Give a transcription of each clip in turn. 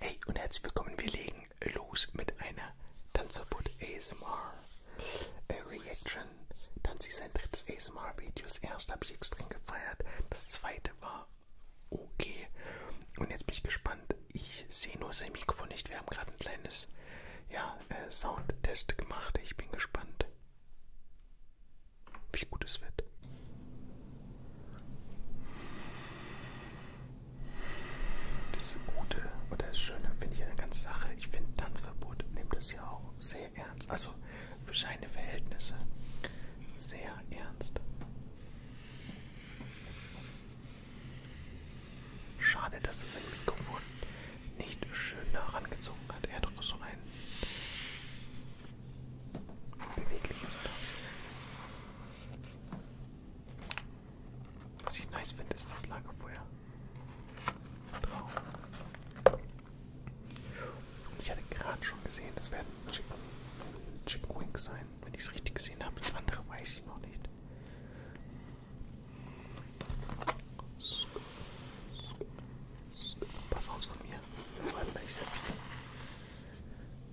Hey und herzlich willkommen, wir legen los mit einer Tanzverbot ASMR äh, Reaction. Tanzi sein drittes ASMR-Video. Das erste habe ich extrem gefeiert, das zweite war okay. Und jetzt bin ich gespannt. Ich sehe nur sein Mikrofon nicht. Wir haben gerade ein kleines ja, äh, Soundtest gemacht. Ich bin gespannt, wie gut es wird. Das Gute oder das Schöne finde ich an der ganzen Sache. Ich finde, Tanzverbot nimmt es ja auch sehr ernst. Also für seine Verhältnisse sehr ernst. Schade, dass das ein Mikrofon nicht schön nah rangezogen hat. Er hat doch so ein bewegliches oder was ich nice finde, ist das Lagerfeuer. Traum. Und ich hatte gerade schon gesehen, das werden Chicken, Chicken Wings sein, wenn ich es richtig gesehen habe. Das andere weiß ich noch nicht. Pass aus von mir. Vor allem, wenn ich sehr viel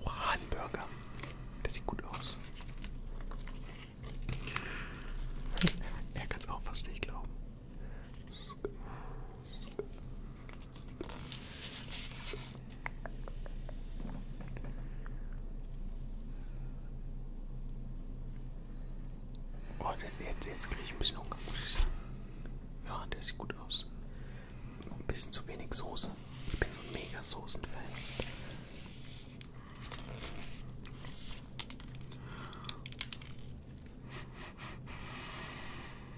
Uranburger. Das sieht gut aus. er kann es auch fast nicht glauben. Oh, jetzt, jetzt kriege ich ein bisschen Hunger, muss ich sagen. Ja, der sieht gut aus. Ein bisschen zu wenig Soße. Ich bin so ein mega Soßen-Fan.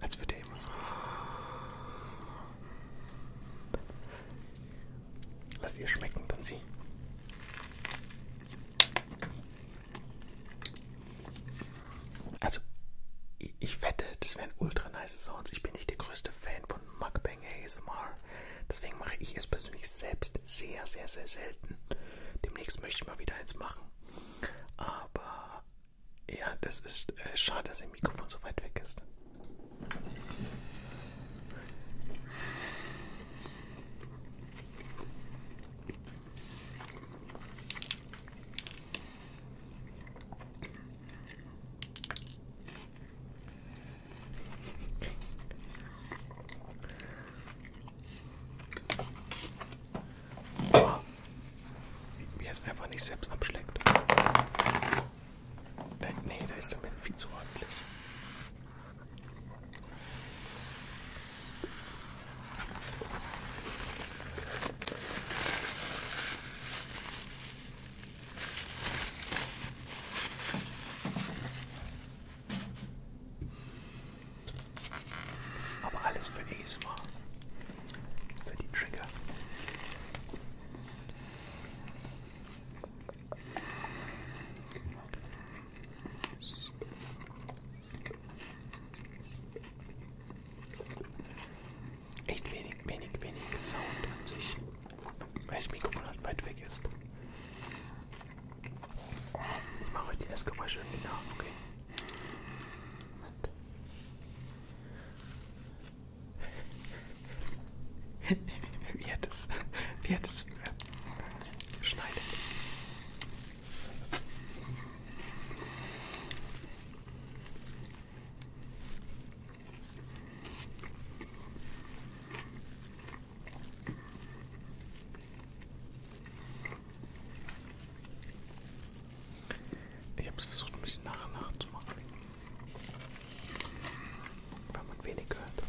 Als würde er immer so riechen. Lass ihr schmecken, dann sie. Also, ich wette, das wären ultra nice Sounds. Ich bin nicht der größte Fan von Mukbang ASMR. Deswegen mache ich es persönlich selbst sehr, sehr, sehr selten. Demnächst möchte ich mal wieder eins machen. Aber ja, das ist äh, schade, dass ihr Mikrofon so weit weg ist. Oh. Wie er es einfach nicht selbst abschlägt. Da, nee, da ist der Milch viel zu ordentlich. Aber alles für ASMR. Für die Trigger echt wenig, wenig, wenig Sound an sich, weil das Mikrofon halt weit weg ist. Oh, ich mache heute die Essgeräusche irgendwie nach, okay? wie hat es, wie hat es äh, schneidet? Ich habe es versucht, ein bisschen nach und nach zu machen, weil man wenig hört.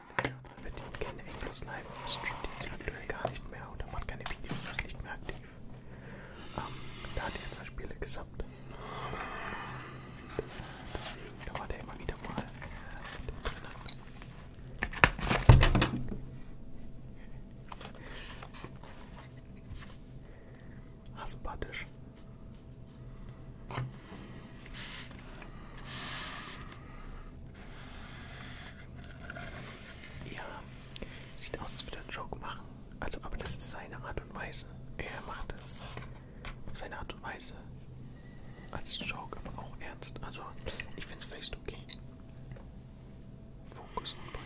Aber wir verdienen keine Actors Live, streamt jetzt aktuell gar nicht mehr oder macht keine Videos, ist nicht mehr aktiv. Ähm, da hat er jetzt Spiele gesammelt. Deswegen dauert er immer wieder mal. Äh, Asympathisch. Ja, sieht aus, als würde er Joke machen. Also, aber das ist seine Art und Weise. Er macht es auf seine Art und Weise. Als Joke, aber auch ernst. Also, ich find's vielleicht okay. Fokus und Point.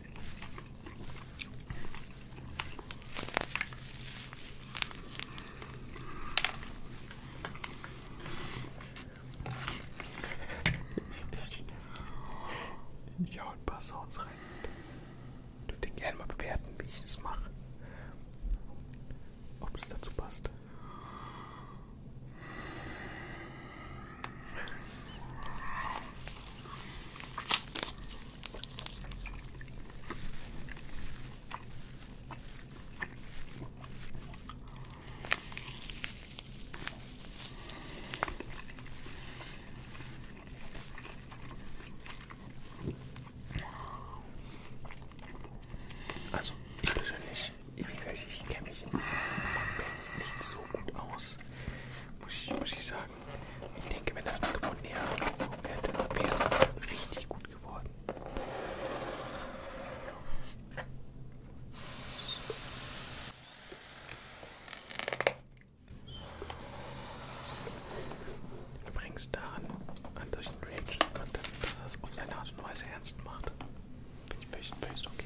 Ich hau ein paar Sounds rein. Dürft ihr gerne mal bewerten, wie ich das mache. Ob es dazu passt. Also, ich persönlich, ich, ich kenne mich im Backpack nicht so gut aus ist. Muss ich, muss ich sagen. Ich denke, wenn das Mikrofon näher angezogen hätte, wäre es richtig gut geworden. Übrigens daran, an solchen Reactions, dass er es auf seine Art und Weise ernst macht. Finde ich völlig okay.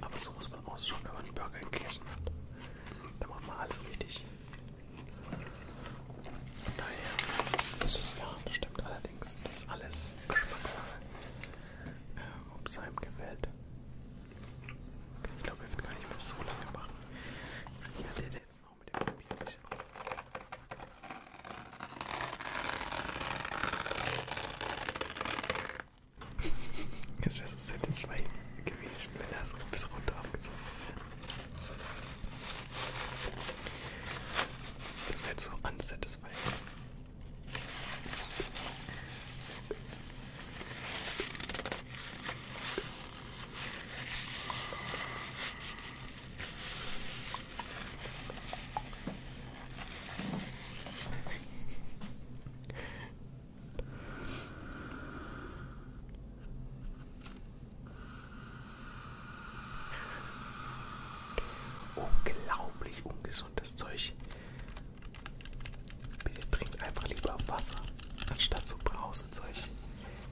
Aber so muss man ausschauen, wenn man einen Burger gegessen hat. Da macht man alles richtig. Von daher, das ist ja, das stimmt allerdings. Das ist alles Geschmackssache. Äh, Ob es einem gefällt. Ich glaube, er wird gar nicht mehr so lange machen. Ich werde jetzt noch mit dem Papier Jetzt wäre es satisfying gewesen, wenn er so bis runter abgezogen wäre. Das wäre jetzt so unsatisfying. Unglaublich ungesundes Zeug. Bitte trinkt einfach lieber Wasser, anstatt so Brausenzeug.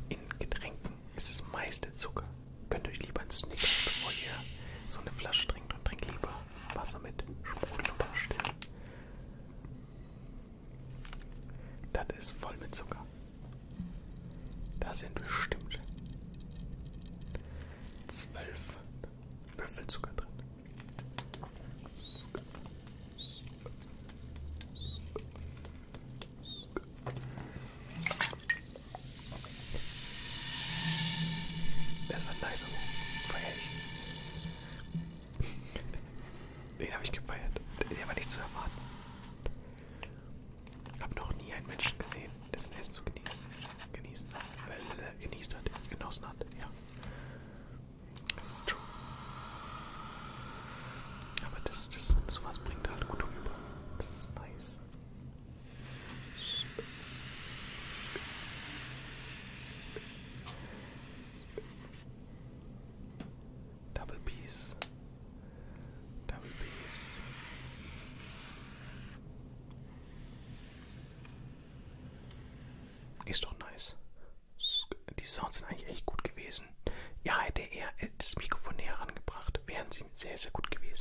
In Getränken ist es meiste Zucker. Könnt euch lieber einen Snickers, bevor ihr so eine Flasche trinkt und trinkt lieber Wasser mit Sprudel überstellen. Das ist voll mit Zucker. Da sind bestimmt zwölf Würfel Zucker drin. Das war nice und feier ich. Den habe ich gefeiert. Der war nicht zu erwarten. Hab noch nie einen Menschen gesehen, dessen Essen zu genießen. Genießen. Äh, äh, äh, genießt hat. Genossen hat. Ja. Das ist true. Aber das, das sowas bringt halt gut über. Das ist nice. Double Piece. Double Piece. Ist doch nice. Die Sounds sind eigentlich echt gut gewesen. Ja, hätte er das Mikrofon näher rangebracht, wären sie sehr, sehr gut gewesen.